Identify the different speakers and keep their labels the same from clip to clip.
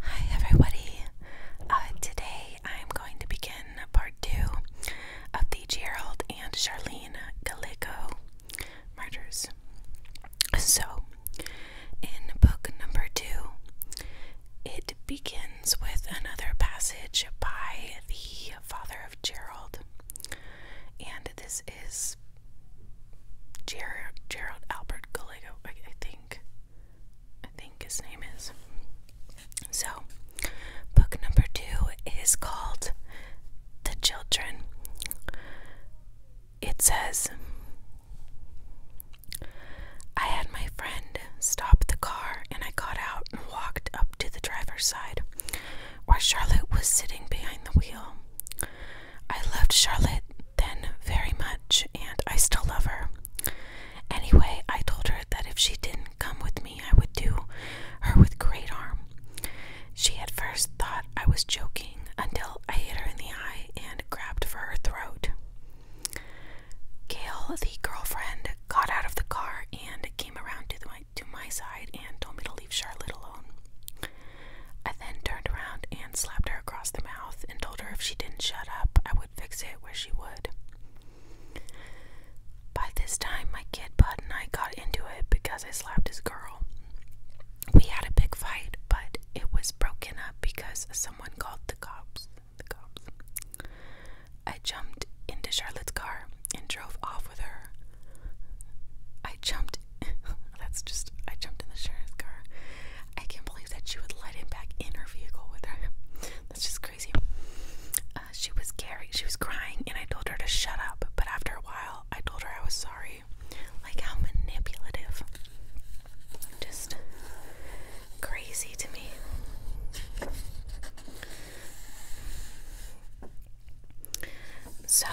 Speaker 1: Hi everybody. Uh, today I'm going to begin part two of the Gerald and Charlene Gallico murders. So, in book number two, it begins with another passage by the father of Gerald, and this is Ger Gerald Albert Gallego, I think. I think his name is. So, book number two is called The Children. It says, I had my friend stop the car and I got out and walked up to the driver's side where Charlotte was sitting behind the wheel. I loved Charlotte then very much, and I still love her. Anyway, I told her that if she didn't come with me, I would do her with great harm. She at first thought I was joking until I hit her in the eye and grabbed for her throat. Gail, the girlfriend, got out of the car and came around to, my, to my side and told me to leave Charlotte alone. I then turned around and hand slapped her across the mouth and told her if she didn't shut up, I would fix it where she would. By this time, my kid Bud and I got into it because I slapped his girl. We had a big fight, but it was broken up because someone called the cops. The cops. I jumped into Charlotte's car and drove off with her. I jumped. That's just. I jumped in the sheriff's car I can't believe that she would let him back in her vehicle with her. That's just crazy. Uh, she was carrying, she was crying, and I told her to shut up. But after a while, I told her I was sorry. Like how manipulative, just crazy to me. So,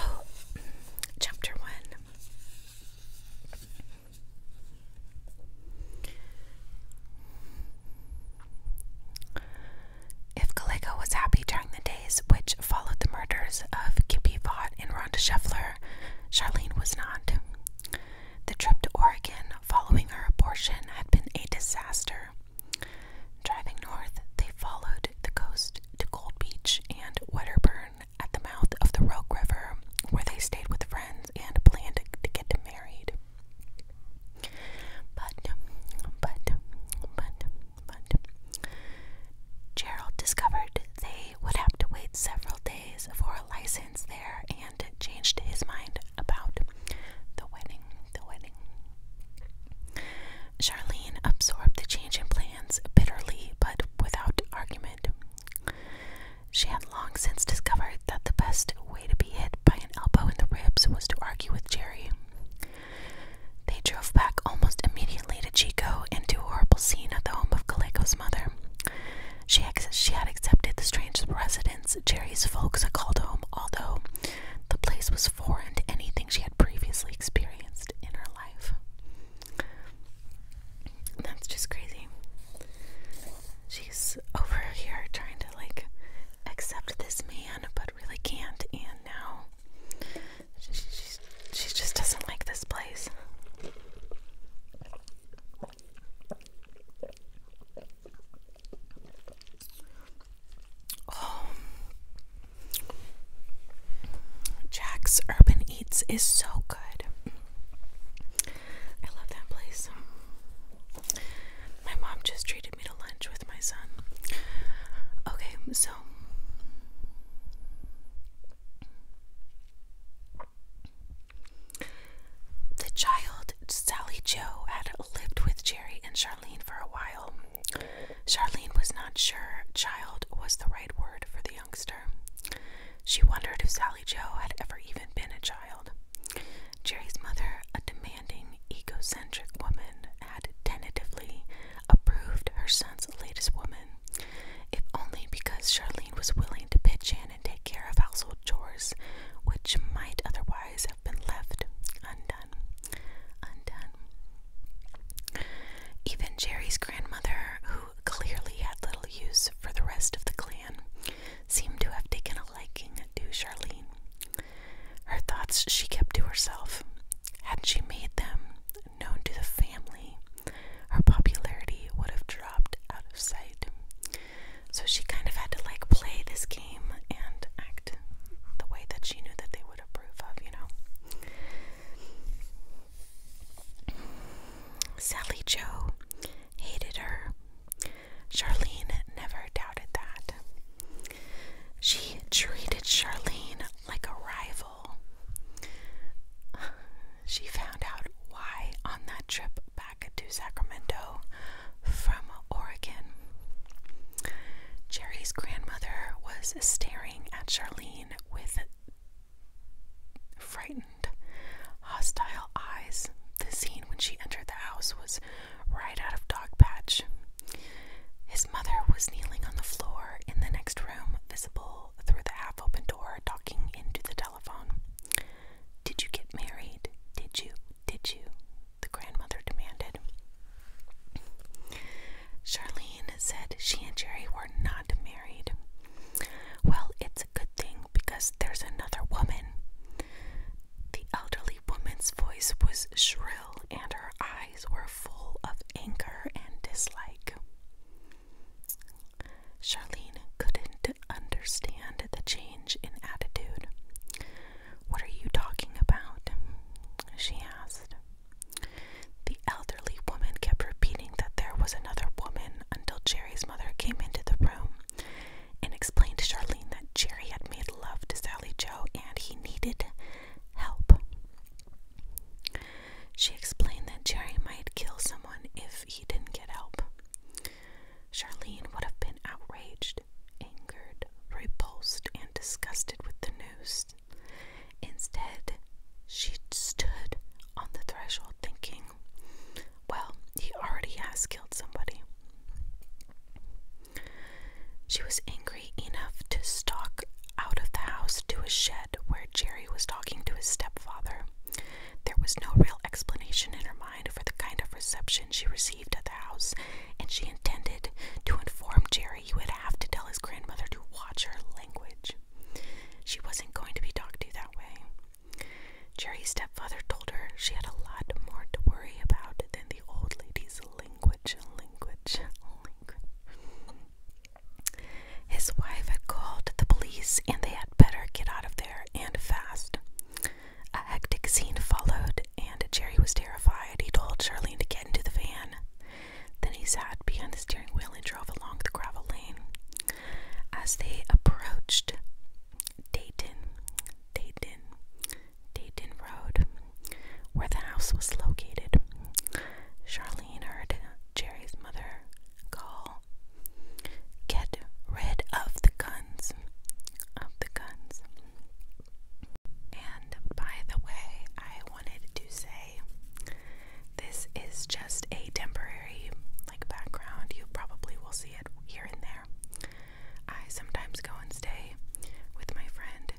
Speaker 1: chapter one. If Gallego was happy during the days which followed the murders of Kippy Vaught and Rhonda Scheffler, Charlene was not. The trip to Oregon following her abortion had been a disaster. Driving north, they followed the coast to Gold Beach and Wedderburn at the mouth of the Rogue River, where they stayed with friends and planned to get married. But, but, but, but, Gerald discovered they would have to wait several days for a license there and changed his mind about the wedding. The wedding. Charlene absorbed the change in plans bitterly but without argument. She had long since discovered that the best way to be hit by an elbow in the ribs was to argue with Jerry. They drove back almost immediately to Chico and to a horrible scene at the home of Calico's mother. She, she had accepted the strange residence Jerry's folks had called home, although the place was foreign to anything she had previously experienced in her life. That's just crazy. She's over here trying to like accept this man, but really can't. And now she, she just doesn't like this place. Oh, Jack's Urban Eats is so good. I love that place. My mom just treated me to lunch with my son. Okay, so the child Sally Joe had lived with Jerry and Charlene for a while. Charlene was not sure child was the right word for the youngster. She wondered if Sally Joe had ever even been a child. Jerry's mother, a demanding, egocentric woman, had tentatively approved her son's latest woman, if only because Charlene was willing to pitch in and take care of household chores, which might otherwise have been left undone. Undone. Even Jerry's grandmother, who clearly had little use for the rest of the clan, seemed to have taken a liking to Charlene. Her thoughts she kept to herself. Had she made them known to the family, her popularity would have dropped out of sight. So she kind of had to like play this game and act the way that she knew that they would approve of, you know. Sally Joe hated her. Charlene never doubted that. She treated Charlene like a rival. She found out why on that trip back to Sacramento from Oregon. Jerry's grandmother was staring at Charlene with frightened Hostile eyes. The scene when she entered the house was right out of Dogpatch. His mother was kneeling on the floor in the next room, visible through the half open door, talking into the telephone. Did you get married? Did you? Did you? The grandmother demanded. Charlene said she and Jerry were not married. Well, it's a good thing because there's another woman. The elderly woman's voice was shrill, and her eyes were full of anger and dislike. Charlene couldn't understand the change in attitude. What are you talking about? she asked. The elderly woman kept repeating that there was another woman until Jerry's mother came into the room and explained to Charlene that Jerry had made love to Sally Joe and he needed help. She explained that Jerry might kill someone if he didn't get help. Charlene would have been outraged, angered, repulsed, and disgusted with the news. Instead, she stood on the threshold thinking, well, he already has killed somebody. She was angry enough to stalk out of the house to a shed where Jerry was talking to his stepfather. There was no real explanation in her mind for the kind of reception she received at the house, and she intended to inform Jerry he would have to tell his grandmother to watch her language. She wasn't going to be talked to that way. Jerry's stepfather told her she had a lot more to worry about than the old lady's language, language, language. His wife had called the police and they had better get out of there and fast. A hectic scene followed, and Jerry was terrified. He told Charlene to get into the van. Then he sat behind the steering wheel and drove along the gravel lane. As they approached Dayton, Dayton, Dayton Road, where the house was located. Charlene heard Jerry's mother call, Get rid of the guns, of the guns. And by the way, I wanted to say this is just a temporary like background. You probably will see it here and there. I sometimes go and stay with my friend,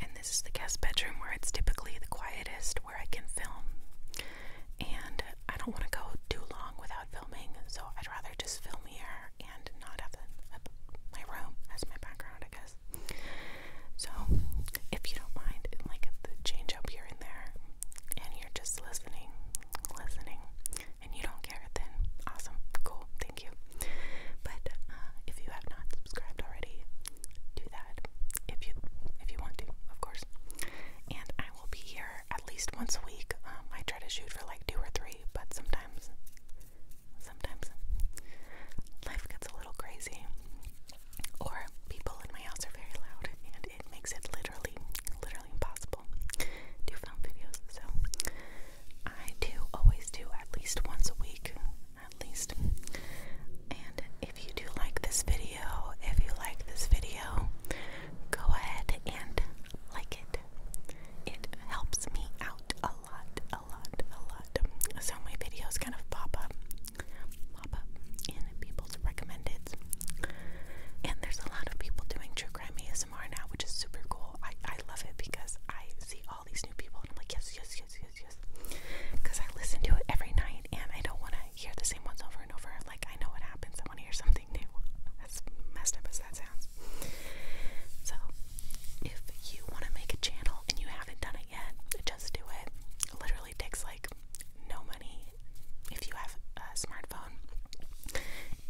Speaker 1: and this is the guest bedroom where it's typically the quietest where I can film. And I don't want to go too long without filming, so I'd rather just film here and not have my room as my background, I guess. So, if you don't mind, like the change up here and there, and you're just listening, listening, and you don't care, then awesome, cool, thank you. But uh, if you have not subscribed already, do that if you if you want to, of course. And I will be here at least once a week. Um, I try to shoot for like two or three, but sometimes, sometimes life gets a little crazy, or people in my house are very loud, and it makes it literally, literally impossible to film videos. So I do always do at least once a week, at least. And if you do like this video, if you like this video, go ahead and like it. It helps me out a lot, a lot, a lot. So my videos kind of pop up, pop up in people's recommended. And there's a lot of people doing true crime ASMR ASMR now, which is super cool. I, I love it because I see all these new people and I'm like, yes, yes, yes, yes, yes. Because I listen to it every night and I don't want to hear the same ones over and over. Like, I know what happens. I want to hear something new. As messed up as that sounds. So, if you want to make a channel and you haven't done it yet, just do it. It literally takes like no money if you have a smartphone phone.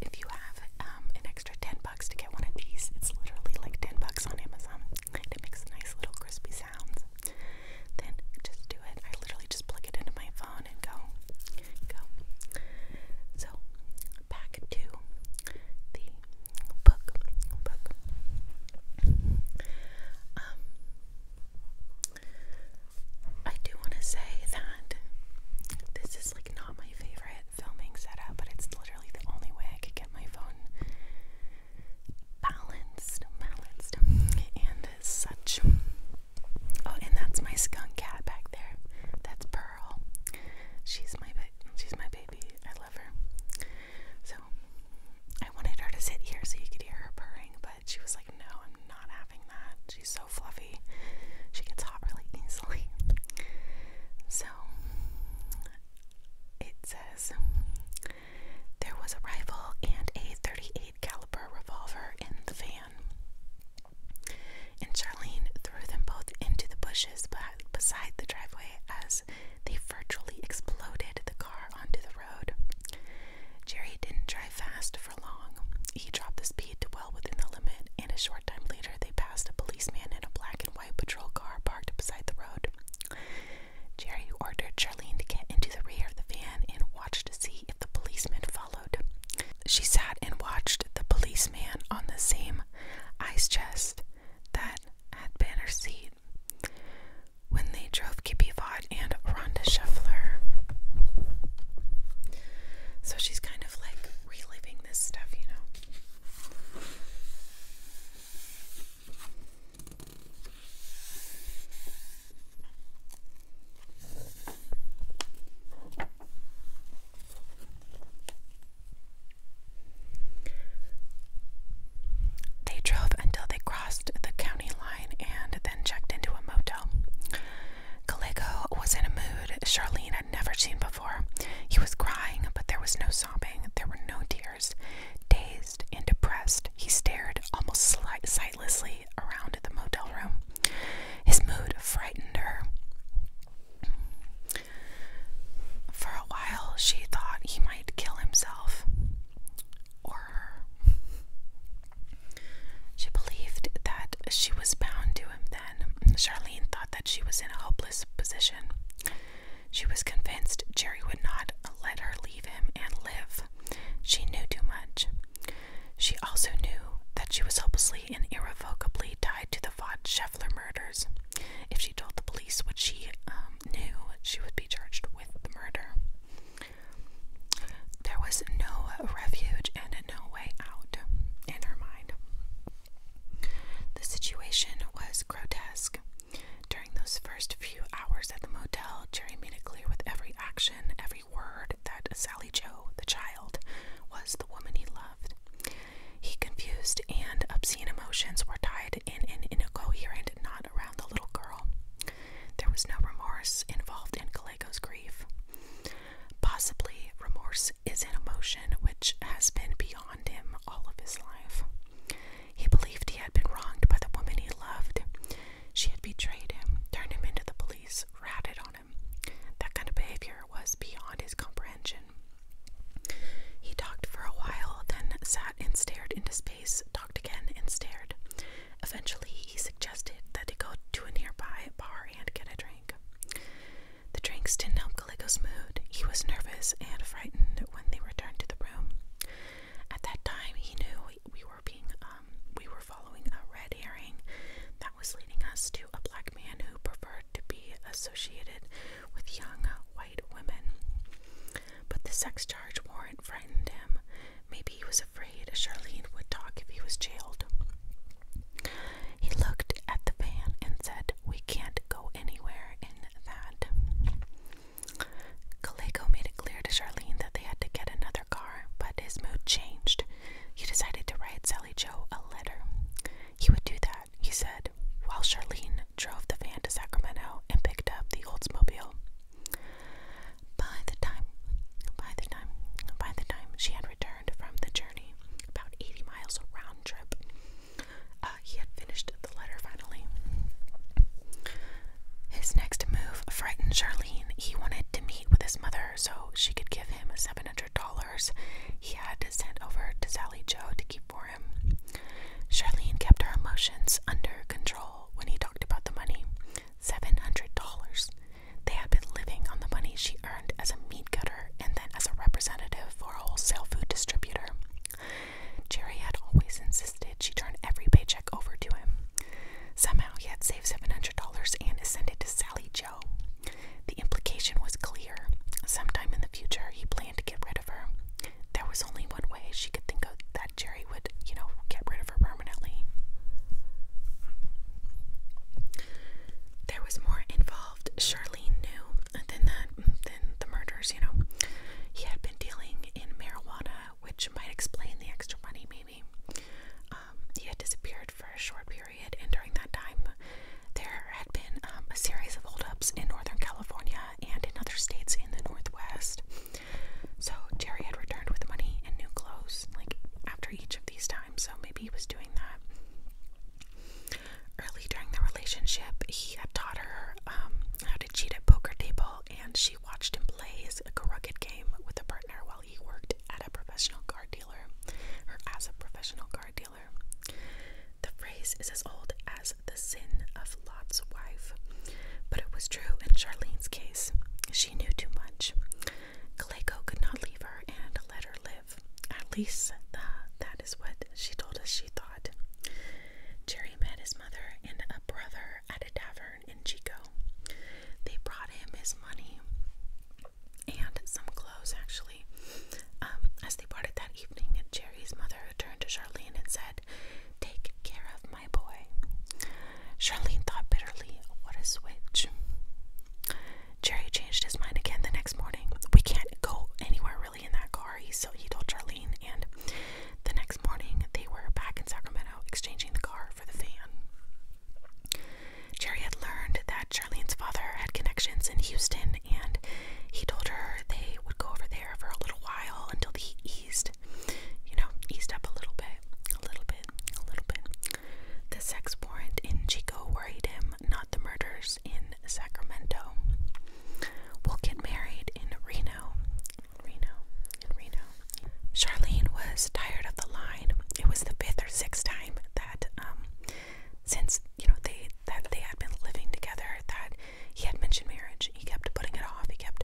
Speaker 1: If you have um, an extra 10 bucks to get one of these, it's literally like 10 bucks on Amazon. It makes nice little crispy sounds. Then just do it. I literally just plug it into my phone and go. Go. So, back to the book. Book. Um, I do want to say that this is not my favorite filming setup, but it's literally the only way I could get my phone balanced, balanced, and such. Oh, and that's my skunk cat back there. That's Pearl. She's my she's my baby. I love her. So I wanted her to sit here so you could hear her purring, but she was like, "No, I'm not having that." She's so fluffy. She gets hot really easily. So it says there was a rifle and a 38 caliber revolver in the van. And Charlene threw them both into the bushes beside the driveway as they virtually exploded the car onto the road. Jerry didn't drive fast for long. He dropped the speed to well within the limit, and a time later, they passed a policeman in a black and white patrol car parked beside the road. Jerry ordered Charlene to get into the rear of the van and watch to see if the policeman followed. She sat and watched the policeman on the same ice chest that had been her seat when they drove Kippy Vaught and Rhonda Scheffler. So she's kind of kind this stuff, you know. They drove until they crossed the county line and then checked into a motel. Calico was in a mood Charlene had never seen before. He was crying, but there was no sobbing, there were no tears. Dazed and depressed, he stared almost sightlessly around the motel room. His mood frightened her. For a while, she thought he might kill himself or her. She believed that she was bound to him then. Charlene thought that she was in a hopeless position. She was convinced Jerry would not let her leave him and live. She knew too much. She also knew that she was hopelessly and irrevocably tied to the Vaught murders. If she told the police what she um, knew, she would be charged with the murder. There was no refuge and no way out in her mind. The situation was grotesque. During those first few hours at the motel, Jerry made it clear with every action, every word, that Sally Joe, the child, was the woman he loved. He confused and obscene emotions were tied in an incoherent knot around the little girl. There was no remorse involved in Kaleko's grief. Possibly, remorse is an emotion which has been beyond him all of his life. He believed he had been wronged by the woman he loved. She had betrayed him, turned him into the police, ratted on him. That kind of behavior was beyond his comprehension. He talked for a while, then sat and stared into space, talked again and stared. Eventually, he suggested that they go to a nearby bar and get a drink. The drinks didn't help Calico's mood. He was nervous and frightened when they returned to the room. At that time, he knew we were being um, we were following a red herring that was leading us to a black man who preferred to be associated with young white women. But the sex charge warrant frightened him. Maybe he was afraid Charlene would talk if he was jailed. He looked at the van and said, We can't go anywhere in that. Calico made it clear to Charlene that they had to get another car, but his mood changed. He decided to write Sally Joe a letter. He would do that, he said, while Charlene drove the van to Sacramento and picked up the Oldsmobile. By the time, by the time, by the time she had returned, from the journey, about 80 miles round trip. Uh, he had finished the letter finally. His next move frightened Charlene. He wanted to meet with his mother so she could give him $700 he had to send over to Sally Joe to keep for him. Charlene kept her emotions under control when he talked about the money $700. They had been living on the money she earned as a meat cutter and then as a representative for a wholesale food distributor. Jerry had always insisted she turn every paycheck over to him. Somehow he had saved $700 and ascended to Sally Joe. The implication was clear. Sometime in the future, he planned to get rid of her. There was only one way she could think of that Jerry would, you know, get rid of her permanently. There was more involved involved, Charlene knew then that then the murders, you know, he had been dealing in marijuana, which might explain the extra money maybe. Um, he had disappeared for a short period and during that time there had been um, a series of holdups in Northern California and in other states in the Northwest. So Jerry had returned with money and new clothes, like after each of these times, so maybe he was doing that. Early during the relationship, he had taught her um, how to cheat at poker table, and she watched him play a crooked game with a partner while he worked at a professional card dealer, or as a professional card dealer. The phrase is as old as the sin of Lot's wife, but it was true in Charlene's case. She knew too much. Clayco could not leave her and let her live at least that is what she told us she thought. Jerry met his mother and a brother at a tavern in Chico. They brought him his money and some clothes, actually. Um, as they parted that evening, Jerry's mother turned to Charlene and said, Take care of my boy. Charlene thought bitterly, What a switch. Jerry changed his mind again the next morning. We can't go anywhere really in that car, so he told Charlene. And the next morning, they were back in Sacramento exchanging the car for the van. Jerry had learned that Charlene's father had connections in Houston, and he told her they would go over there for a little while until the heat eased. You know, eased up a little bit, a little bit, a little bit. The sex warrant in Chico worried him, not the murders in Sacramento. We'll get married in Reno. Reno. Reno. Charlene was tired of the line. It was the fifth or sixth time that um since, you know, they that they had been living together that he had mentioned marriage. He kept putting it off. He kept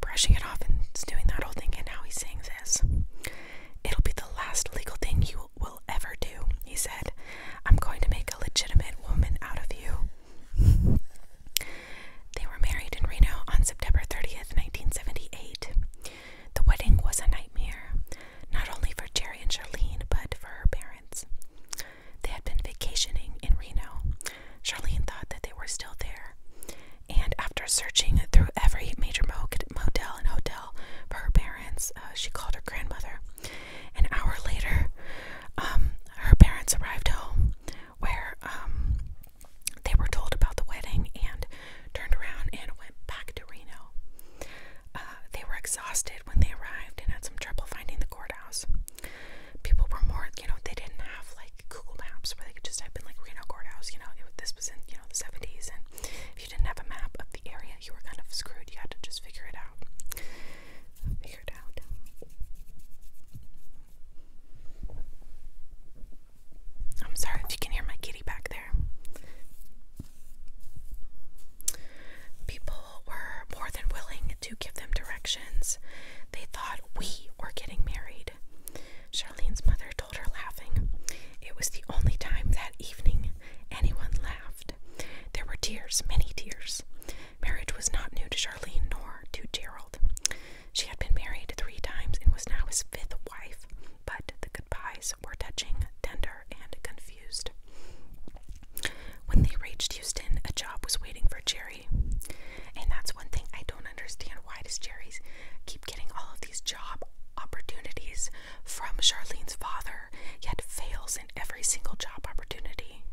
Speaker 1: brushing it off and doing that whole thing and now he's saying this. It'll be the last legal thing you will ever do, he said. I'm going to make a legitimate woman out of you. They were married in Reno on September 30th, 1978. The wedding was a nightmare, not only for Jerry and Charlene, but for her parents. They had been vacationing in Reno. Charlene thought that they were still there. And after searching through every major motel and hotel for her parents, uh, she called her grandmother an hour later, um, her parents arrived home where um, they were told about the wedding and turned around and went back to Reno. Uh, they were exhausted when they arrived and had some trouble finding the courthouse. People were more, you know, they didn't have like Google Maps where they could just type in like Reno courthouse, you know, this was in, you know, the 70s and you didn't have a map of the area, you were kind of screwed. You had to just figure it out. Figure it out. I'm sorry if you can hear my kitty back there. People were more than willing to give them directions. They thought we were getting married. Charlene's mother told her, laughing, it was the only time that evening anyone laughed. There were tears, many tears. Marriage was not new to Charlene nor to Gerald. She had been married three times and was now his fifth wife, but the goodbyes were touching, tender, and confused. When they reached Houston, a job was waiting for Jerry. And that's one thing I don't understand. Why does Jerry's keep getting all of these job opportunities from Charlene's father, yet fails in every single job opportunity.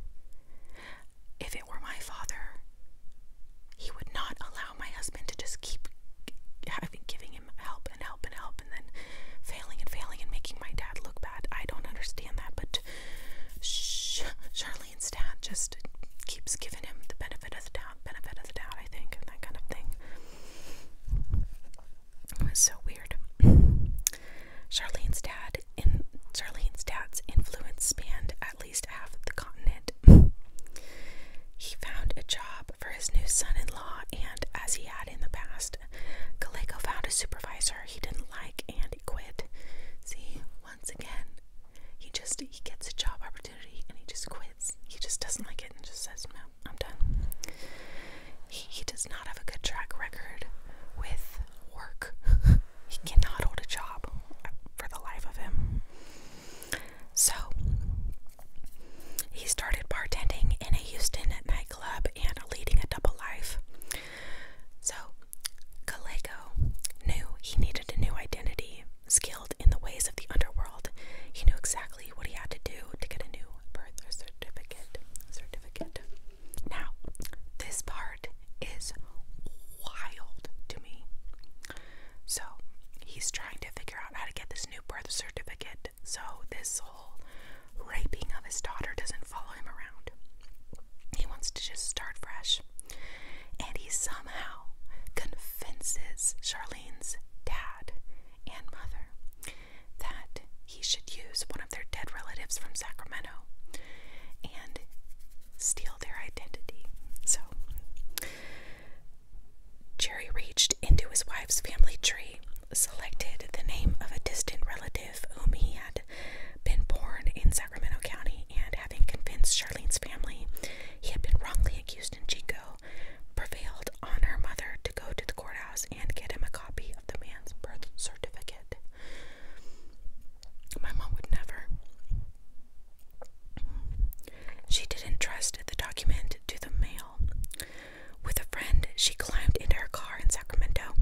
Speaker 1: If it were my father, he would not allow my husband to just keep having giving him help and help and help and then failing and failing and making my dad look bad. I don't understand that, but sh Charlene's dad just keeps giving him the benefit of the doubt, benefit of the doubt, I think, and that kind of thing. It was so weird. Charlene's dad in Charlene's dad's influence spanned at least half the continent. he found a job for his new son-in-law, and as he had in the past, Kaleko found a supervisor he didn't like and he quit. See, once again, he just he gets a job opportunity and he just quits. He just doesn't like it and just says, "No, I'm done." He, does not have a good track record with work. he cannot hold a job for the life of him. So, he started bartending in a Houston nightclub and leading a double life. So, Gallego knew he needed a new identity, skilled in the ways of the underworld. He knew exactly what he had to do to get a new birth certificate. Certificate. Now, this part is wild to me. So, he's trying to figure out how to get this new birth certificate so this whole raping of his daughter doesn't follow him around. He wants to just start fresh. And he somehow convinces Charlene's dad and mother that he should use one of their dead relatives from Sacramento and steal their identity. So, Jerry reached into his wife's family tree, selected the name of a distant relative whom he had been born in Sacramento County, and having convinced Charlene's family he had been wrongly accused in Chico, prevailed on her mother to go to the courthouse and get him a copy of the man's birth certificate. My mom would never. She didn't trust the document to the mail. With a friend, she climbed into her car in Sacramento,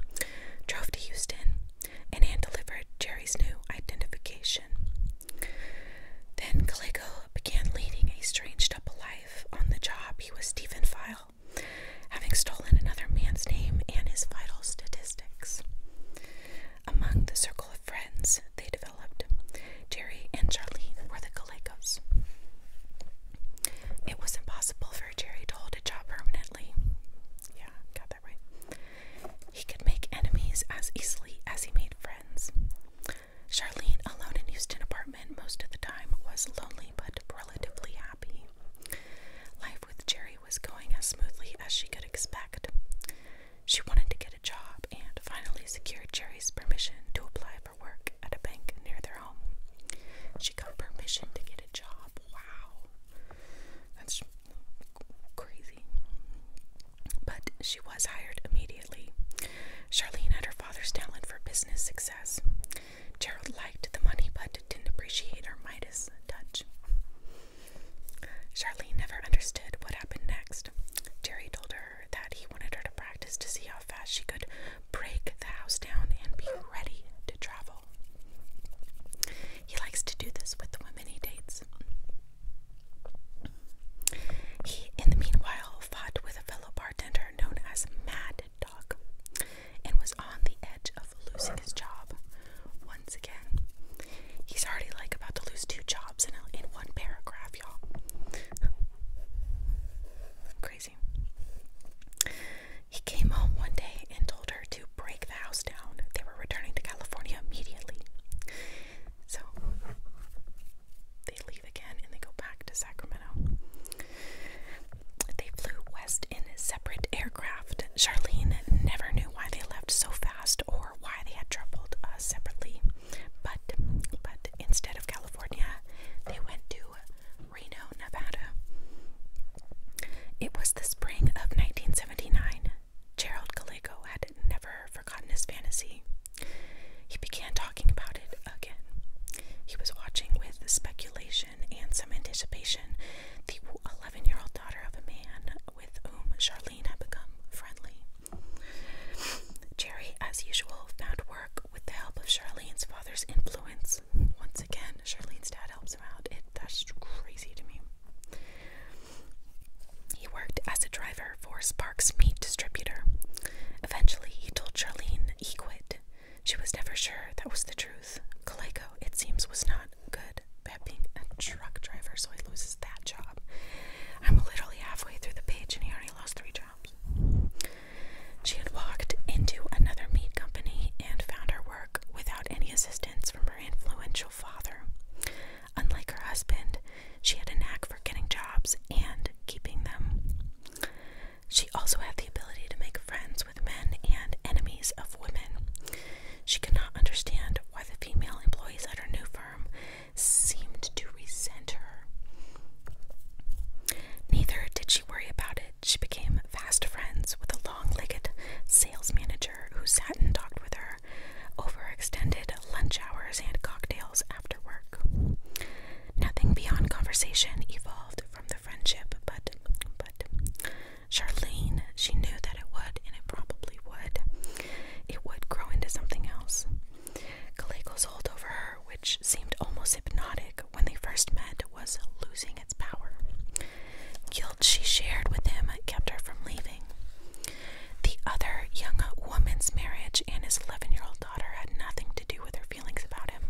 Speaker 1: drove to Houston, and hand delivered Jerry's new identification. Then Calico began leading a strange double life. On the job, he was Stephen File, having stolen another man's name and his vital statistics. Among the circle of friends they developed, Jerry and Charlene were the Gallegos. It was impossible for Jerry to hold a job permanently. Yeah, got that right. He could make enemies as easily as he made friends. Charlene, alone in Houston apartment most of the time, was lonely but relatively happy. Life with Jerry was going as smoothly as she could expect. She wanted to get a job and finally secured Jerry's permission to apply for work at a bank near their home. She got permission to get a job. Wow. That's crazy. But she was hired immediately. Charlene had her father's talent for business success. Gerald liked the money but didn't appreciate her Midas touch. Charlene never understood what happened next. Jerry told her that he wanted her to practice to see how fast she could break the house down and be ready to travel. He likes to do this with the women he dates. He, in the meanwhile, fought with a fellow bartender known as Mad dog and was on the edge of losing his job once again. He's already like about to lose two jobs in, in one paragraph, y'all. Crazy. He came home one day and told her to break the house down. They were returning to California immediately. So they leave again and they go back to Sacramento. They flew west in separate aircraft. Charlene never knew why they left so fast or why they had traveled separately. But, but instead of California, they went to Reno, Nevada. It was the spring of 1979. Gerald Gallego had never forgotten his fantasy. He began talking about it again. He was watching with speculation and some anticipation, the 11 year old daughter of a man with whom Charlene had become friendly. Jerry, as usual, found work with the help of Charlene's father's influence. Once again, Charlene's dad helps him out. It, that's crazy to me. He worked as a driver for Sparks Meat Distributor. Eventually, he told Charlene he quit. She was never sure that was the truth. Kaleko, it seems, was not good at being a truck driver, so he loses that job. I'm literally halfway through the page and he already lost three jobs. She had walked into another meat company and found her work without any assistance from her influential father. Unlike her husband, she had a knack for getting jobs and keeping them. She also had the ability to make friends men and enemies of women. She could not understand why the female employees at her new firm seemed to resent her. Neither did she worry about it. She became fast friends with a long legged sales manager who sat and talked with her over extended lunch hours and cocktails after work. Nothing beyond conversation evolved from friendship, but but Charlene, she knew that it would, and it probably would. It would grow into something else. Calico's hold over her, which seemed almost hypnotic when they first met, was losing its power. Guilt she shared with him kept her from leaving. The other young woman's marriage and his 11 year old daughter had nothing to do with her feelings about him.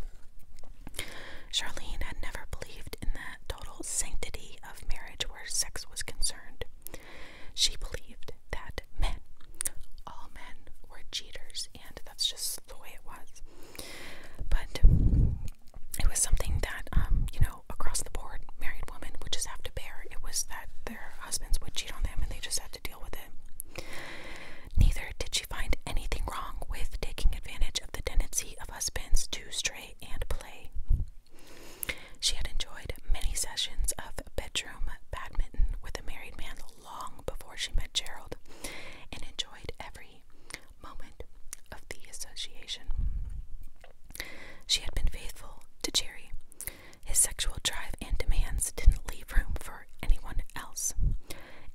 Speaker 1: Charlene had never believed in the total sanctity of marriage where sex was concerned. She believed that men, all men, were cheaters, and that's just the way it was. But it was something that, um, you know, across the board, married women would just have to bear. It was that their husbands would cheat on them and they just had to deal with it. Neither did she find anything wrong with taking advantage of the tendency of husbands to stray and play. She had enjoyed many sessions of bedroom badminton with a married man long before she met Gerald and enjoyed every moment of the association. She had been faithful to Jerry. His sexual drive and demands didn't leave room for anyone else.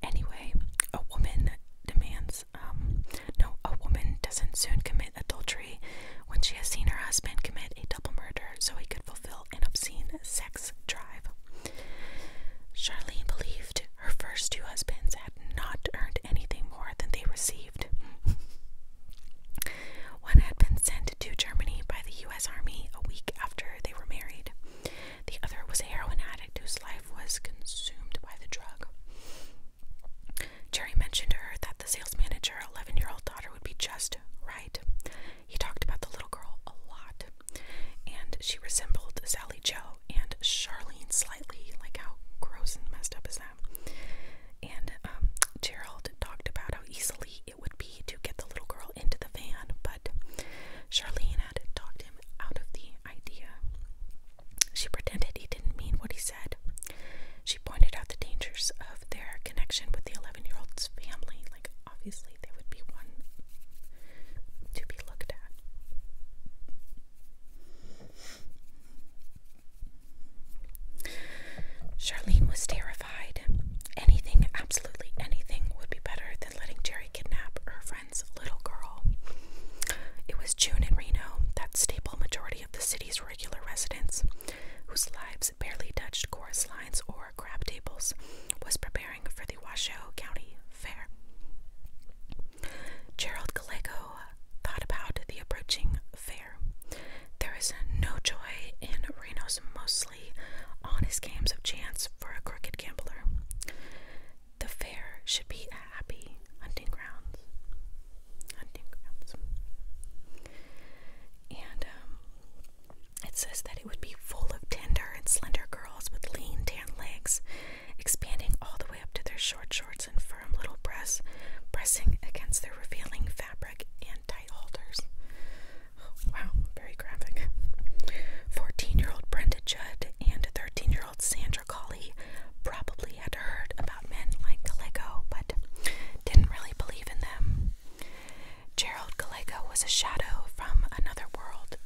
Speaker 1: Anyway, a woman demands um, no, a woman doesn't soon commit adultery when she has seen her husband commit a double murder so he could fulfill an obscene sex drive. Charlene believed her first two husbands had not earned anything more than they received. One had been sent to Germany by the U.S. Army a week after they were married. The other was a heroin addict whose life was consumed by the drug. Jerry mentioned to her that the sales manager's 11 year old daughter, would be just right. He talked about the little girl a lot, and she resembled Sally Joe and Charlene slightly. Like, how gross and messed up is that? And um, Gerald talked about how easily it would be to get the little girl into the van, but Charlene had talked him out of the idea. She pretended he didn't mean what he said. She pointed out the dangers of their connection with the 11 year old's family. Like, obviously, they would be one to be looked at. Charlene was terrified. Anything, absolutely anything, would be better than letting Jerry kidnap her friend's little girl. It was June in Reno, that staple majority of the city's regular residents, whose lives barely touched course lines or crab tables, was preparing for the Washoe County Fair. Gerald Gallego thought about the approaching fair. There is no joy in Reno's mostly honest games of chance for a crooked gambler the fair should be a happy hunting grounds. Hunting grounds. And um, it says that it would be full of tender and slender girls with lean, tan legs, expanding all the way up to their short shorts and firm little breasts, pressing against their revealing fabric and tight halters. wow, very graphic. 14 year old Brenda Judd and 13 year Sandra Colley probably had heard about men like Gallego, but didn't really believe in them. Gerald Gallego was a shadow from another world.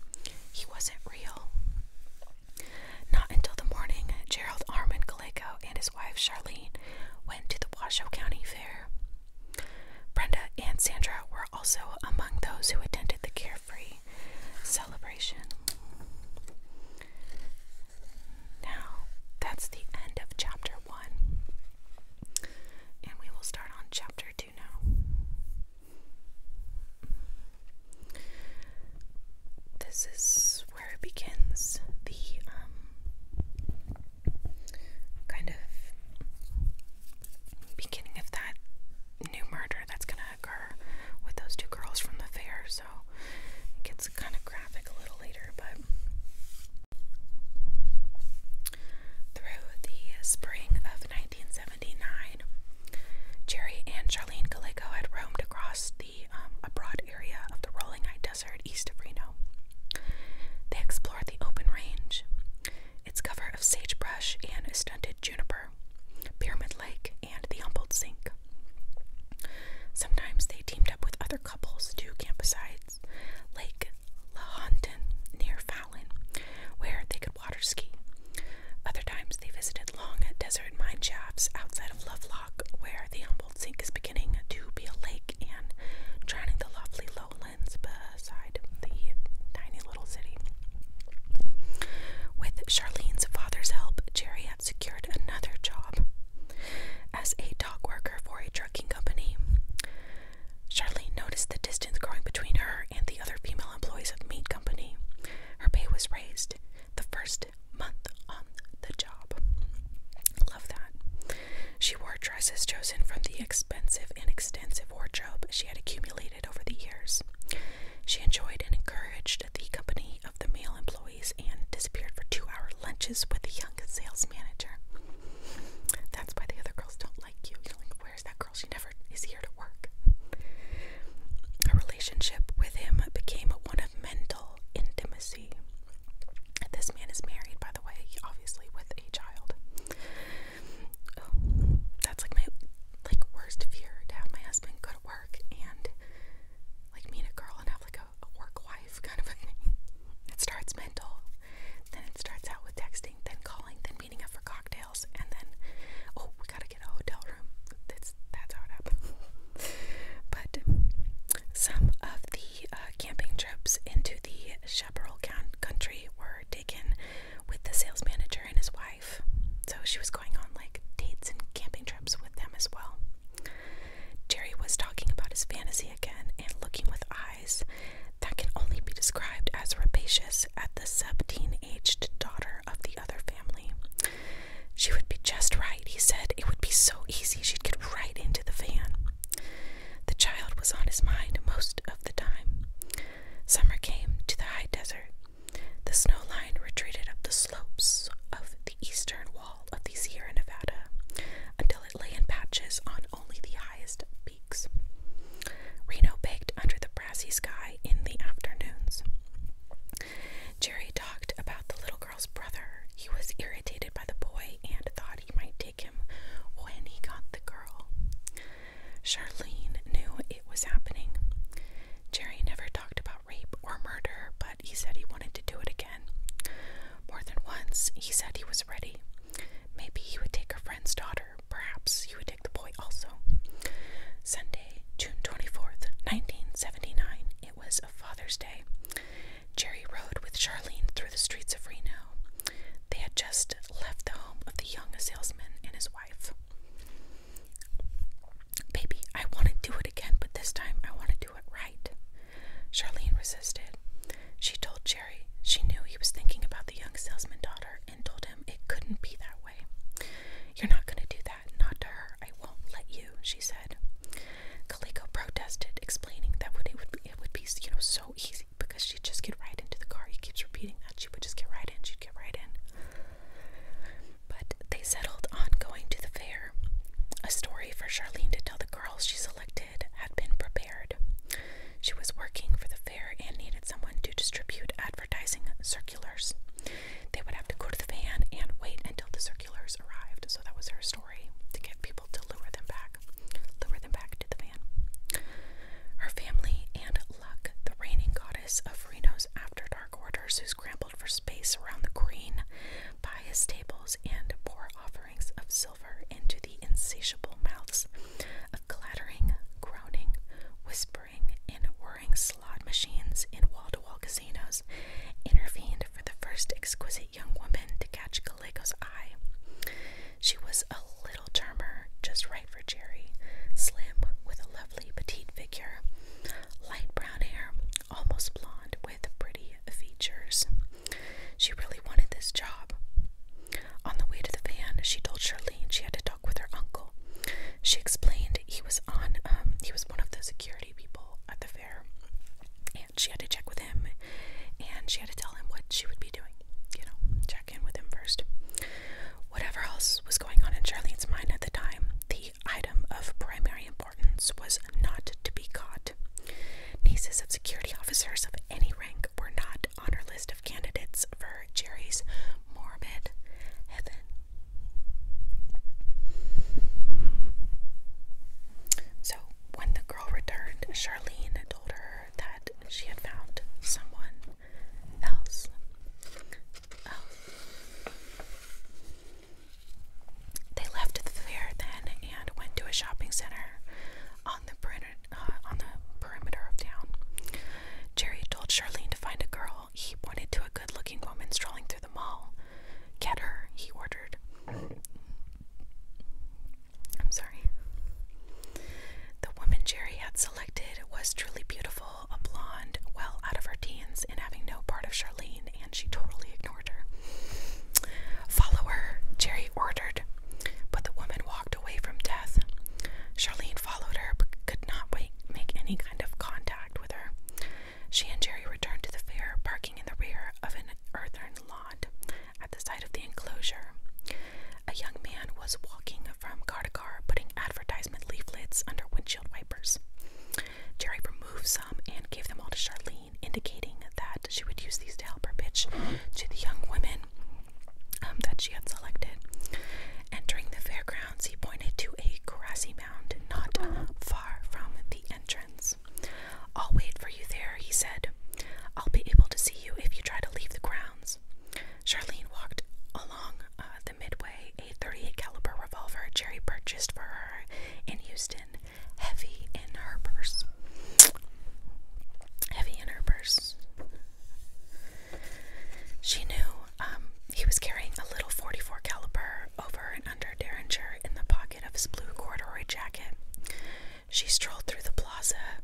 Speaker 1: He wasn't real. Not until the morning, Gerald Armand Gallego and his wife Charlene went to the Washoe County Fair. Brenda and Sandra were also among those who attended the carefree celebration. Now, that's the end of chapter one, and we will start on chapter two now. This is where it begins the um, kind of beginning of that new murder that's going to occur with those two girls from the fair it gets kind of graphic a little later, but through the spring of 1979, Jerry and Charlene Galeco had roamed across the um, a broad area of the rolling eye desert east of Reno. They explored the open range, its cover of sagebrush and stunted juniper, Pyramid Lake, and the Humboldt Sink. Sometimes they teamed up with other couples to camp campsites Lake Lahontan near Fallon, where they could water ski. Other times they visited long desert mine shafts outside of Lovelock, where the Humboldt Sink is beginning to be a lake and drowning the lovely lowlands beside the tiny little city. With Charlene's father's help, Jerry secured another job as a dock worker for a trucking company. Charlene noticed the distance growing between her and the other female employees of the meat company. Her pay was raised the first month on the job. Love that. She wore dresses chosen from the expensive and extensive wardrobe she had accumulated over the years. She enjoyed and encouraged the company of the male employees and disappeared for two hour lunches with the young sales manager. That's why the other girls don't like you. You're like, where's that girl? She never is here to work. Her relationship with him became one of mental intimacy. This man is married, by the way, obviously with a child. Oh, that's like my like worst fear to have my husband go to work and like meet a girl and have like a work wife kind of thing. It starts mental, then it starts out with texting, then calling, then meeting up for cocktails, and then oh, we gotta get a hotel room. That's that's how it happens. but some of the uh, camping trips into the chaparral country were taken with the sales manager and his wife. So she was going on like dates and camping trips with them as well. Jerry was talking about his fantasy again and looking with eyes that can only be described as rapacious at the 17 aged daughter of the other family. She would be just right, he said. It would be so easy, she'd get right into the van. The child was on his mind most of the time. Summer came to the high desert. The snow line retreated up the slopes of the eastern wall of the Sierra Nevada until it lay in patches on only the highest peaks. Reno baked under the brassy sky in the afternoons. Jerry talked about the little girl's brother. He was irritated by the boy and thought he might take him when he got the girl. Charlene knew it was happening. Jerry never talked about rape or murder, but he said he wanted to do it again. More than once, he said he was ready. Maybe he would take a friend's daughter. Perhaps he would take the boy also. Sunday, June 24th, 1979. It was Father's Day. Jerry rode with Charlene through the streets of Reno. They had just left the home of the young salesman and his wife. Baby, I want to do it again, but this time I want to do it right. Charlene resisted. She told Jerry she knew he was thinking about the young salesman's daughter and told him it couldn't be that way. You're not going to do that, not to her. I won't let you, she said. Kaliko protested, explaining that it would be, it would be you know so easy because she'd just get right into the car. He keeps repeating that she would just get right in, she'd get right in. But they settled on going to the fair. A story for Charlene to tell the girls she selected had been prepared. She was working for the fair and needed someone to distribute advertising circulars. They would have to go to the van and wait until the circulars arrived. So that was her story to get people to lure them back, lure them back to the van. Her family and luck, the reigning goddess of Reno's after dark orders, whose grandpa for space around the green by tables and pour offerings of silver into the insatiable mouths of clattering, groaning, whispering, and whirring slot machines in wall to wall casinos, intervened for the first exquisite young woman to catch Galico's eye. She was a little charmer, just right for Jerry, slim with a lovely petite figure, light brown hair, almost blonde, with pretty features. She really wanted this job. On the way to the van, she told Charlene she had to talk with her uncle. She explained he was on um, he was one of the security people at the fair, and she had to check with him, and she had to tell him what she would be doing. You know, check in with him first. Whatever else was going on in Charlene's mind at the time, the item of primary importance was not to be caught. Nieces of security officers of any rank were not on her list of candidates for Jerry's morbid heaven. So, when the girl returned, Charlene told her that she had found someone else. Oh. They left the fair then and went to a shopping center on the uh, perimeter, of town. Jerry told Charlene to find a girl. He pointed to a good-looking woman strolling through the mall. Get her, he ordered. I'm sorry. The woman Jerry had selected was truly beautiful, a blonde, well out of her teens, and having no part of Charlene and she totally ignored her. Follow her, Jerry ordered, but the woman walked away from death. Charlene followed her but could not wait, make any kind of contact with her. She and Jerry returned to the fair, parking in the rear of an earthen lot at the side of the enclosure. A young man was walking from car to car, putting advertisement leaflets under windshield wipers. Jerry removed some and gave them all to Charlene, indicating that she would use these to help her pitch to the young women um, that she had selected. Entering the fairgrounds, he pointed to a grassy mound not uh, far from the entrance. I'll wait for you there, he said. I'll be able to see you if you try to leave the grounds. Charlene walked along uh, the midway, a 38 caliber revolver Jerry purchased for her in Houston heavy in her purse. Heavy in her purse. She knew um, he was carrying a little 44 caliber over and under derringer in the pocket of his blue corduroy jacket. She strolled through the plaza,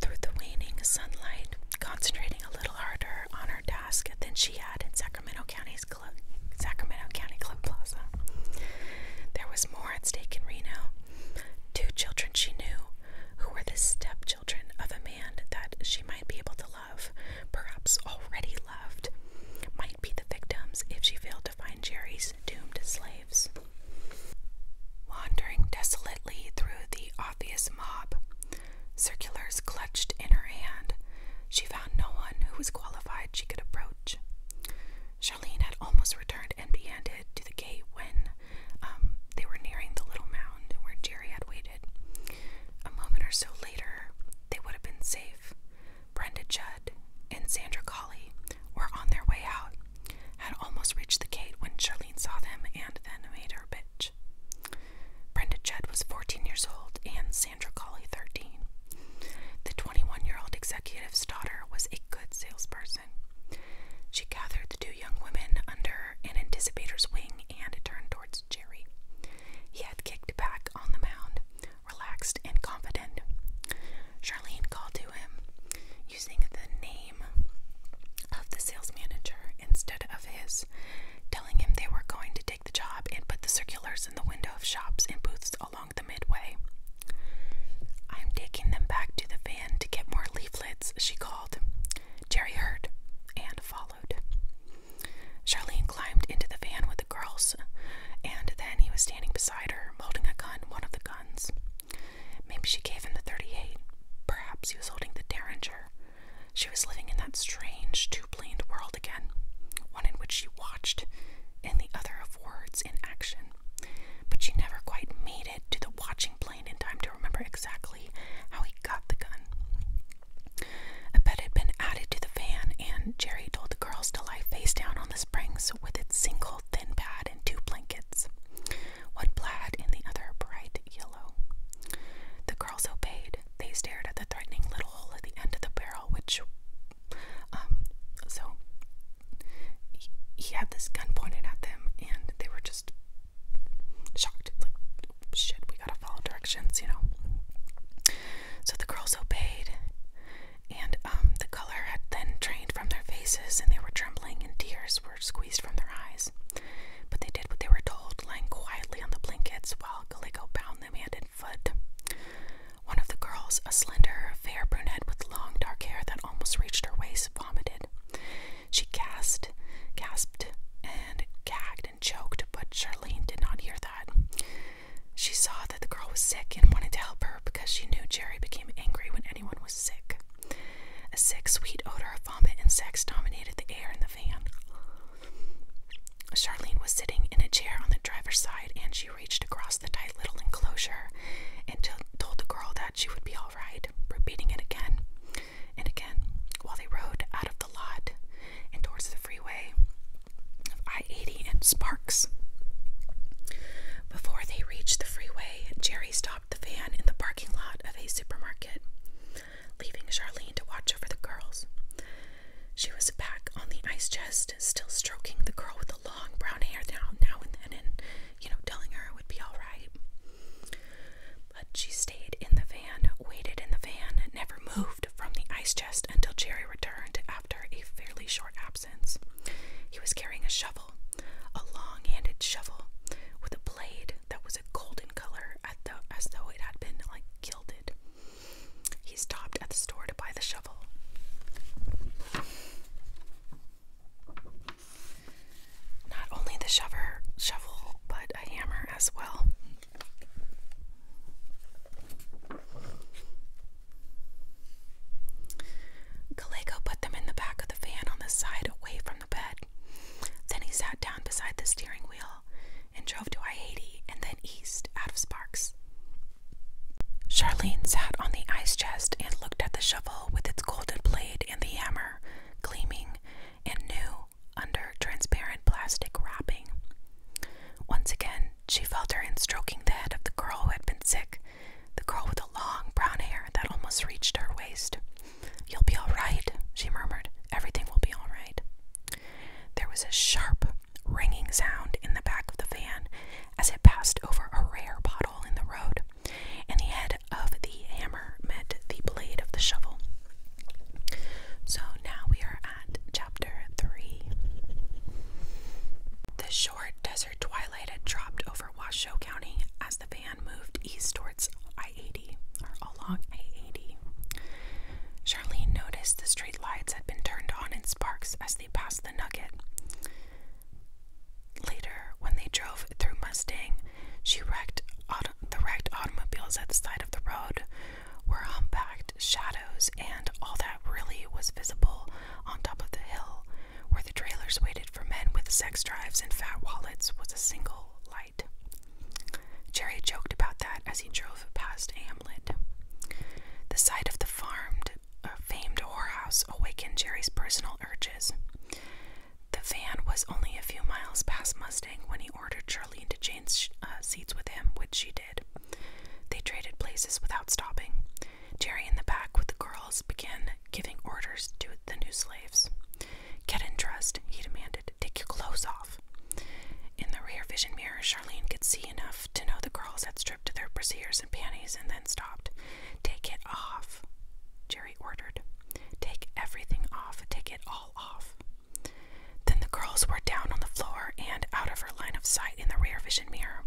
Speaker 1: through the waning sunlight, concentrating a little harder on her task than she had in Sacramento County's Club, Sacramento County Club Plaza. There was more at stake in Reno. Two children she knew, who were the stepchildren of a man that she might be able to love, perhaps already loved, might be the victims if she failed to find Jerry's doomed slaves. Wandering desolately through the obvious mob, circulars clutched in her hand, she found no one who was qualified she could approach. Charlene had almost returned empty handed to the gate when um, they were nearing the little mound where Jerry had waited. A moment or so later, they would have been safe. Brenda Judd and Sandra Colley were on their way out, had almost reached the gate when Charlene saw them and then made her bitch. Brenda Judd was 14 years old and Sandra Colley 13. The 21 year old executive's daughter was a good salesperson. She gathered the two young women under an anticipator's wing and turned towards Jerry. He had kicked back on the mound, relaxed and confident. Charlene called to him, using the name of the sales manager instead of his, telling him they were going to take the job and put the circulars in the window of shops and booths all along the midway. I'm taking them back to the van to get more leaflets, she called. Jerry heard and followed. Charlene climbed into the van with the girls, and then he was standing beside her, holding a gun, one of the guns. Maybe she gave him the 38. Perhaps he was holding the Derringer. She was living in that strange, two-planed world again, one in which she watched, and the other of words in action. But she never quite made it to the watching plane in time to remember exactly how he got the gun. A bed had been added to the van, and Jerry told the girls to lie face down on the springs with its single thin pad and two blankets, one plaid and the other bright yellow. The girls obeyed. They stared at the threatening little hole at the end of the barrel, which, um, so he, had this gun pointed at them, and they were just shocked. Like, shit, we gotta follow directions, you know? So the girls obeyed, and um, the color had then drained from their faces, and they were trembling, and tears were squeezed from their eyes. But they did what they were told, lying quietly on the blankets while Calico bound them hand and foot. One of the girls, a slender, fair brunette with long dark hair that almost reached her waist, vomited. She gasped, gasped, and gagged and choked, but Charlene did not hear that. She saw that the girl was sick and wanted to help her because she knew Jerry became angry when anyone was sick. A sick, sweet odor of vomit and sex dominated the air in the van. Charlene was sitting in a chair on the driver's side and she reached across the tight little enclosure and told the girl that she would be all right, repeating it again and again while they rode out of the lot and towards the freeway I 80 and Sparks. Before they reached the freeway, Jerry stopped the van in the parking lot of a supermarket, leaving Charlene to watch over the girls. She was back on the ice chest still stroking the girl with the long brown hair now, and then and, you know, telling her it would be all right. But she stayed in the van, waited in the van, never moved from the ice chest until Jerry returned after a fairly short absence. He was carrying a shovel, a long handed shovel, with a blade that was a golden color as though it had been like gilded. He stopped at the store to buy the shovel. Not only the shover, shovel, but a hammer as well. Gallego put them in the back of the van on the side away from the bed. Then he sat down beside the steering wheel and drove to Haiti and then east out of Sparks. Charlene sat on the ice chest and looked at the shovel with its golden blade and the hammer gleaming and new under transparent plastic wrapping. Once again, she felt her hand stroking the head of the girl who had been sick, the girl with the long brown hair that almost reached her waist. You'll be all right, she murmured. Everything will be all right. There was a sharp, ringing sound in the back of the van, as it passed over a rare pothole in the road, and the head of the hammer met the blade of the shovel. So now we are at chapter 3. The short desert twilight had dropped over Washoe County as the van moved east towards I 80 or along I 80. Charlene noticed the street lights had been turned on in sparks as they passed the nugget. Later, when they drove through Mustang, she wrecked auto the wrecked automobiles at the side of the road were humpbacked shadows, and all that really was visible on top of the hill where the trailers waited for men with sex drives and fat wallets was a single light. Jerry joked about that as he drove past Hamlet. The side of the farmed a famed whorehouse awakened Jerry's personal urges. The van was only a few miles past Mustang when he ordered Charlene to change uh, seats with him, which she did. They traded places without stopping. Jerry in the back with the girls began giving orders to the new slaves. Get in dressed, he demanded. Take your clothes off. In the rear vision mirror, Charlene could see enough to know the girls had stripped to their brassieres and panties and then stopped. Take it off, Jerry ordered. Take everything off, take it all off. Then the girls were down on the floor and out of her line of sight in the rear vision mirror,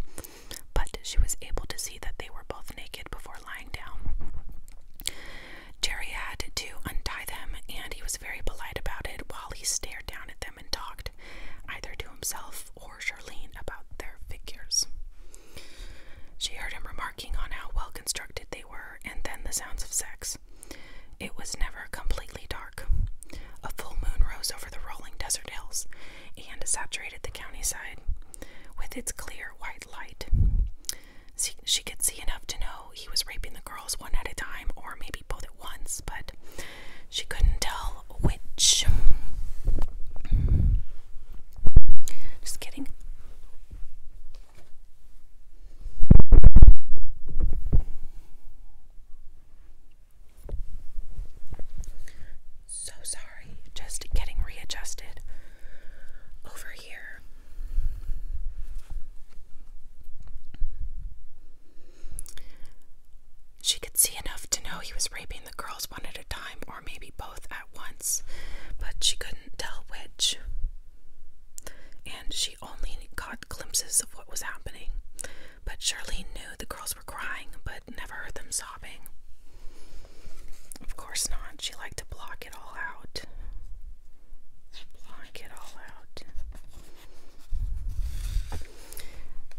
Speaker 1: but she was able to see that they were both naked before lying down. Jerry had to untie them, and he was very polite about it while he stared down at them and talked, either to himself or or Charlene about their figures. She heard him remarking on how well constructed they were, and then the sounds of sex. It was never completely dark. A full moon rose over the rolling desert hills and saturated the countryside with its clear white light. she could see enough to know he was raping the girls one at a time or maybe both at once, but she couldn't tell evil Just kidding. So sorry, just getting readjusted over here. She could see enough to know he was raping the girls one at a time or maybe both at once, but she couldn't tell which. And she only caught glimpses of what was happening. But Charlene knew the girls were crying, but never heard them sobbing. Of course not. She liked to block it all out. Block it all out.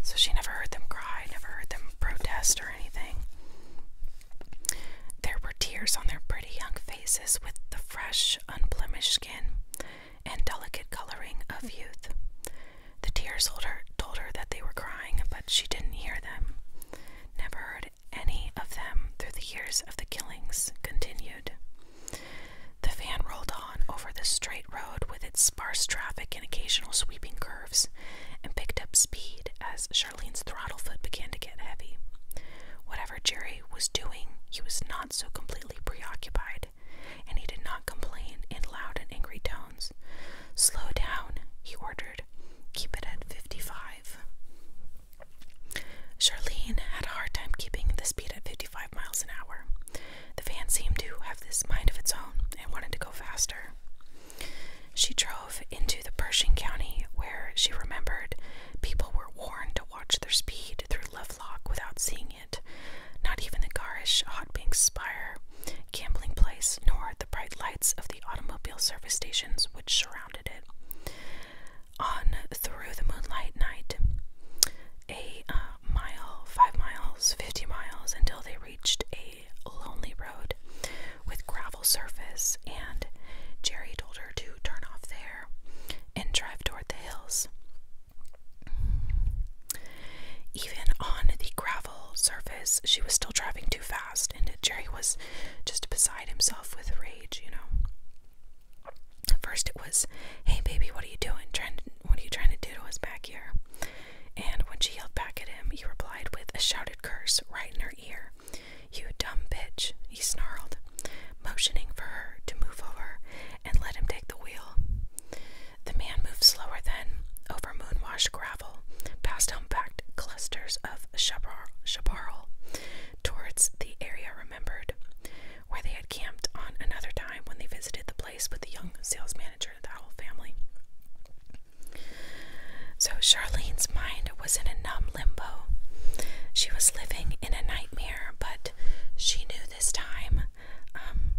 Speaker 1: So she never heard them cry, never heard them protest or anything. There were tears on their pretty young faces with the fresh, unblemished skin and delicate coloring of youth. The tears told her, told her that they were crying, but she didn't hear them. Never heard any of them through the years of the killings continued. The van rolled on over the straight road with its sparse traffic and occasional sweeping curves and picked up speed as Charlene's throttle foot began to get heavy. Whatever Jerry was doing, he was not so completely preoccupied, and he did not complain in loud and angry tones. Slow down, he ordered. Keep it at fifty-five." Charlene had a hard time keeping the speed at 55 miles an hour. The van seemed to have this mind of its own and wanted to go faster. She drove into the Pershing County, where she remembered people were warned to watch their speed through Lovelock without seeing it. Not even the garish Hot Pink Spire gambling place, nor the bright lights of the automobile service stations which surrounded it. On through the moonlight night, a uh, mile, five miles, fifty miles, until they reached a lonely road with gravel surface, and Jerry told her to turn off there and drive toward the hills. Even on the gravel surface, she was still driving too fast, and Jerry was just beside himself with rage, you know. first, it was, Hey, baby, what are you doing? Trying to, what are you trying to do to us back here? And when she yelled back at him, he replied with a shouted curse right in her ear. You dumb bitch, he snarled, motioning for her to move over and let him take the wheel. The man moved slower then, over moon-washed gravel, past humpbacked clusters of chaparral, chaparral, towards the area remembered, where they had camped on another time when they visited the place with the young sales manager of the whole family. So Charlene's mind was in a numb limbo. She was living in a nightmare, but she knew this time, um,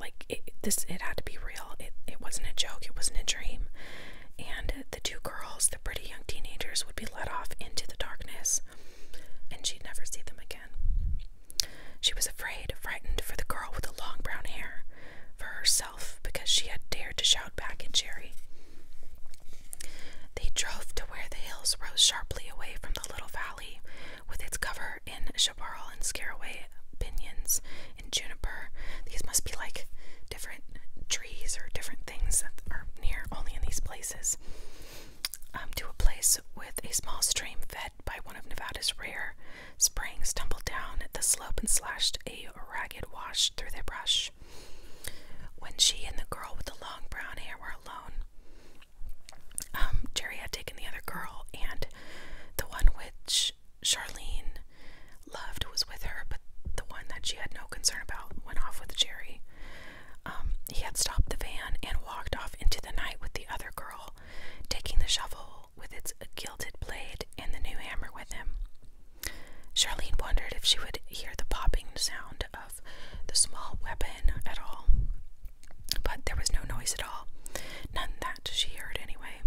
Speaker 1: like it, this, it had to be real. It it wasn't a joke. It wasn't a dream. And the two girls, the pretty young teenagers, would be let off into the darkness, and she'd never see them again. She was afraid, frightened for the girl with the long brown hair for herself because she had dared to shout back at Jerry. They drove to where the hills rose sharply away from the little valley, with its cover in chaparral and scareaway pinions and juniper. These must be like different trees or different things that are near only in these places. Um, to a place with a small stream fed by one of Nevada's rare Sprang stumbled down the slope and slashed a ragged wash through the brush. When she and the girl with the long brown hair were alone, um, Jerry had taken the other girl, and the one which Charlene loved was with her, but the one that she had no concern about went off with Jerry. Um, he had stopped the van and walked off into the night with the other girl, taking the shovel with its gilded blade and the new hammer with him. Charlene wondered if she would hear the popping sound of the small weapon at all, but there was no noise at all. None that she heard, anyway.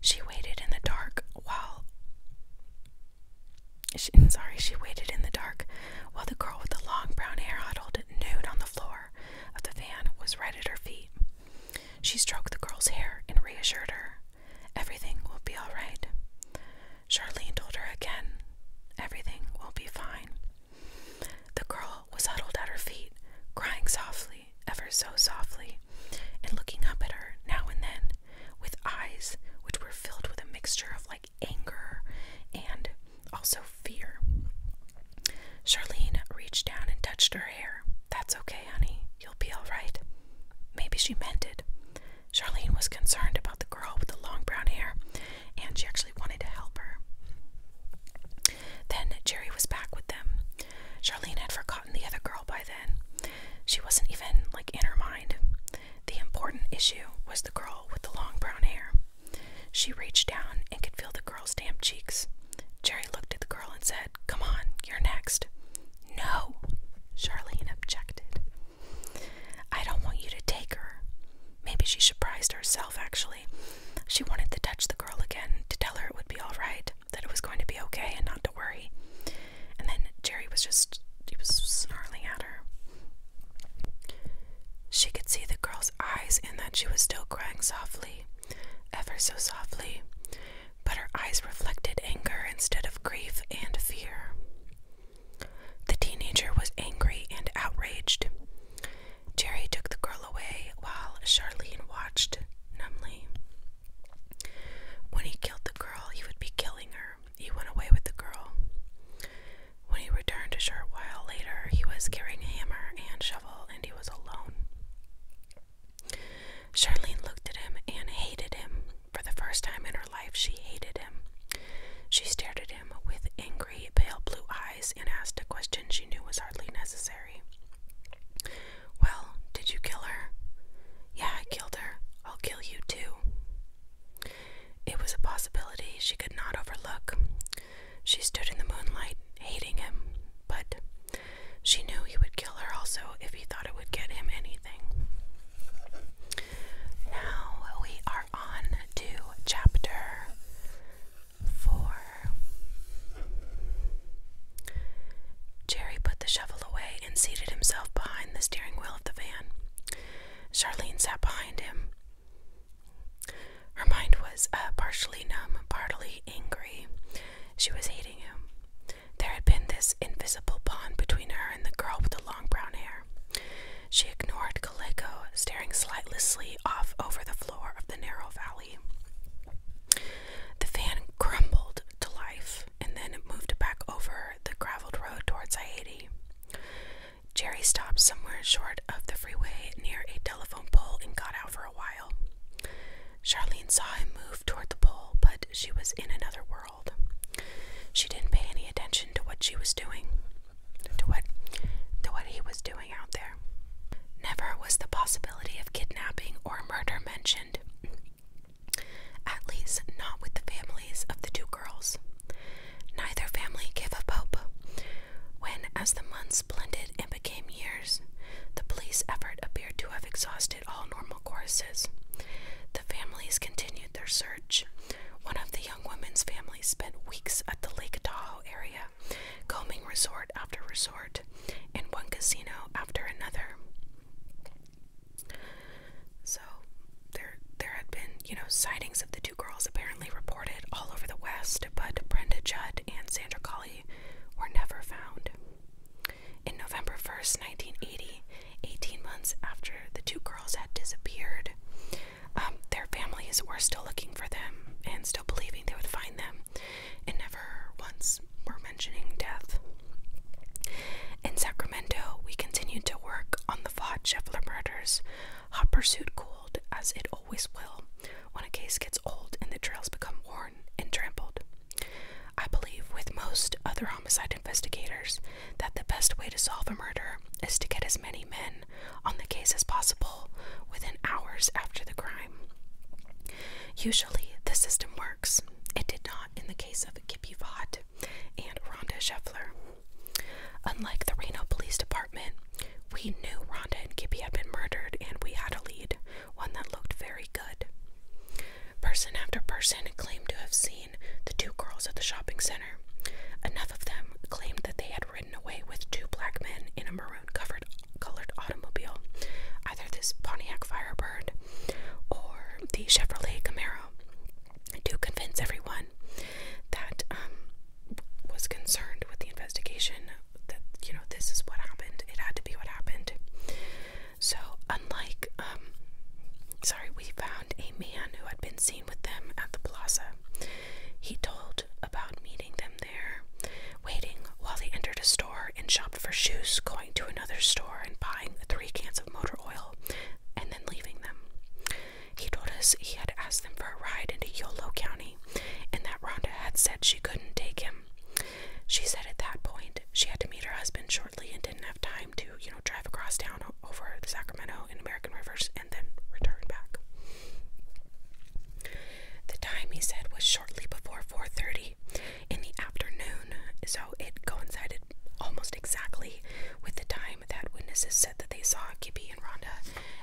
Speaker 1: She waited in the dark while. sorry, she waited in the dark while the girl with the long brown hair huddled nude on the floor of the van was right at her feet. She stroked the girl's hair and reassured her. Everything will be all right. Charlene told her again, Everything will be fine. The girl was huddled at her feet, crying softly, ever so softly, and looking up at her now and then with eyes which were filled with a mixture of like anger and also fear. Charlene reached down and touched her hair. That's okay, honey. You'll be all right. Maybe she meant it. Charlene was concerned about the girl with the long brown hair, and she actually wanted to help her. Then Jerry was back with them. Charlene had forgotten the other girl by then. She wasn't even, like, in her mind. The important issue was the girl with the long brown hair. She reached down and could feel the girl's damp cheeks. Jerry looked at the girl and said, Come on, you're next. No, Charlene objected. I don't want you to take her. Maybe she surprised herself, actually. She wanted to touch the girl again, to tell her it would be all right, that it was going to be okay and not to worry. And then Jerry was just, he was snarling at her. She could see the girl's eyes and that she was still crying softly, ever so softly but her eyes reflected anger instead of grief and fear. The teenager was angry and outraged. Jerry took the girl away while Charlene watched numbly. When he killed the girl, he would be killing her. He went away with the girl. When he returned a short while later, he was carrying a hammer and shovel and he was alone. Charlene looked at him and hated him. For the first time in her life, she hated him. She stared at him with angry, pale blue eyes and asked a question she knew was hardly necessary. Well, did you kill her? Yeah, I killed her. I'll kill you too. It was a possibility she could not overlook. She stood in the moonlight, hating him, but she knew he would kill her also if he thought it would get him anything. Now we are on to chapter 4. Jerry put the shovel away and seated himself behind the steering wheel of the van. Charlene sat behind him. Her mind was uh, partially numb, partly angry. She was hating him. There had been this invisible bond between her and the girl with the long brown hair. She ignored Calico, staring slightlessly off over the floor of the narrow valley. The van crumbled to life, and then moved back over the graveled road towards Haiti. Jerry stopped somewhere short of the freeway near a telephone pole and got out for a while. Charlene saw him move toward the pole, but she was in another world. She didn't pay any attention to what she was doing, to what, to what he was doing out there. Never was the possibility of kidnapping or murder mentioned, at least not with the families of the two girls. Neither family gave up hope. When, as the months blended and became years, the police effort appeared to have exhausted all normal courses. The families continued their search. One of the young woman's family spent weeks at the Lake Tahoe area, combing resort after resort and one casino after another. So there there had been, you know, sightings of the two girls apparently reported all over the West, but Brenda Judd and Sandra Colley were never found. In November 1st, 1980, 18 months after the two girls had disappeared, um, their families were still looking for them and still believing they would find them, and never once were mentioning death. In Sacramento, we continued to work on the Vaught Scheffler murders. Hot pursuit cooled, as it always will, when a case gets old and the trails become worn and trampled. I believe, with most other homicide investigators, that the best way to solve a murder is to get as many men on the case as possible within hours after the crime. Usually, the system works. It did not in the case of Kippy Vaught and Rhonda Scheffler. Unlike the Reno Police Department, we knew Rhonda and Kippy had been murdered, and we had a lead, one that looked very good. Person after person claimed to have seen the two girls at the shopping center. Enough of them claimed that they had ridden away with two black men in a maroon covered colored automobile, either this Pontiac Firebird or the Chevrolet Camaro, to convince everyone that um, was concerned with the investigation that you know this is what happened. It had to be what happened. So, unlike, um, sorry, we found a man who had been seen with them at the plaza. He told about meeting them there, waiting while they entered a store and shopped for shoes, going to another store and buying three cans of motor oil, and then leaving them. He told us he had asked them for a ride into Yolo County, and that Rhonda had said she couldn't take him. She said at that point she had to meet her husband shortly and didn't have time to, you know, drive across town over the Sacramento and American rivers and then return back. The time he said was shortly before 4:30 in the afternoon, so it coincided almost exactly with the time that witnesses said that they saw Gibby and Rhonda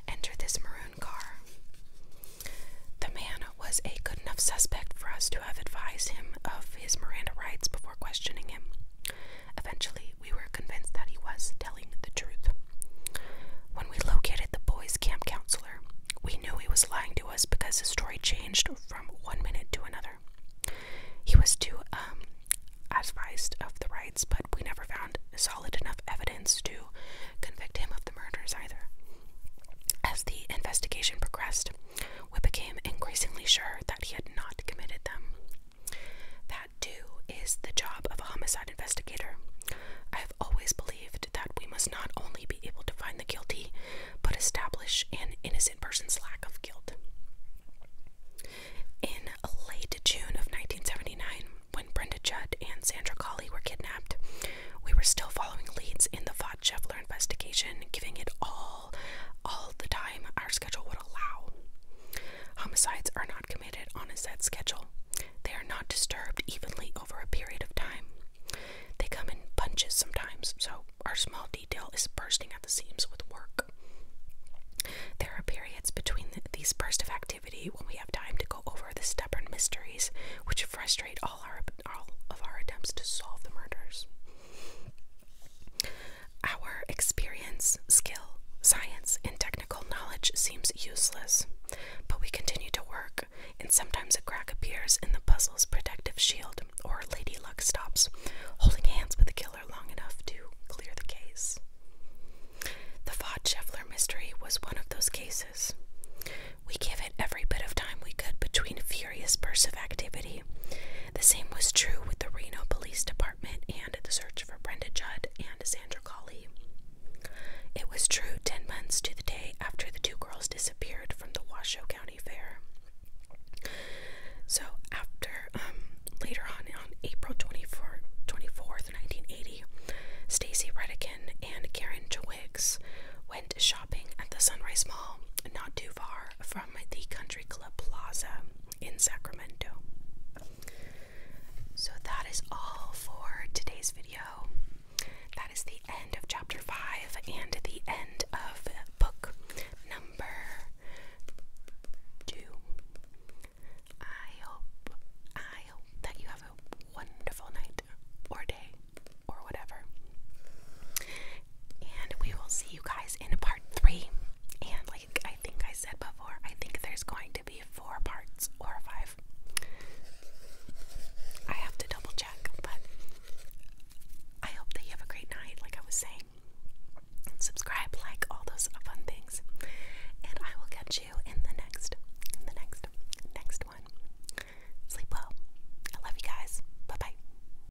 Speaker 1: enter this maroon car. The man was a good enough suspect for us to have advised him of his Miranda rights before questioning him. Eventually, we were convinced that he was telling the truth. When we located the boys' camp counselor, we knew he was lying to us because his story changed from one minute to another. He was too um, advised of the rights, but we never found solid enough evidence to convict him of the murders either. As the investigation progressed, we became increasingly sure that he had not committed them. That, too, is the job of a homicide investigator. I have always believed that we must not only be able to find the guilty, but establish an innocent person's lack of guilt. In late June of 1979, when Brenda Judd and Sandra Colley were kidnapped, we were still following leads in the Vought investigation, giving it all all the time our schedule would allow. Homicides are not committed on a set schedule. They are not disturbed evenly over a period of time. They come in bunches sometimes, so our small detail is bursting at the seams with work. There are periods between these bursts of activity when we have time to go over the stubborn mysteries which frustrate all, our, all of our attempts to solve the murders. Our experience, skill, science, and technical knowledge seems useless, but we continue to work, and sometimes a crack appears in the puzzle's protective shield, or Lady Luck stops, holding hands with the killer long enough to clear the case. The Vaught Scheffler mystery was one of those cases. We give it every bit of time we could between furious bursts of activity the same was true with the Reno Police Department and the search for Brenda Judd and Sandra Colley. It was true 10 months to the day after the two girls disappeared from the Washoe County Fair. So, after, um, later on, on April 24, 24th, 1980, Stacy Redican and Karen Twiggs went shopping at the Sunrise Mall, not too far from the Country Club Plaza in Sacramento. So that is all for today's video. That is the end of chapter 5 and the end of book number 2. I hope I hope that you have a wonderful night or day or whatever. And we will see you guys in part three. And like I think I said before, I think there's going to be four parts or five. I have to double check, but I hope that you have a great night, like I was saying. Subscribe, like all those fun things. And I will catch you in the next, the next, next one. Sleep well. I love you guys. Bye bye.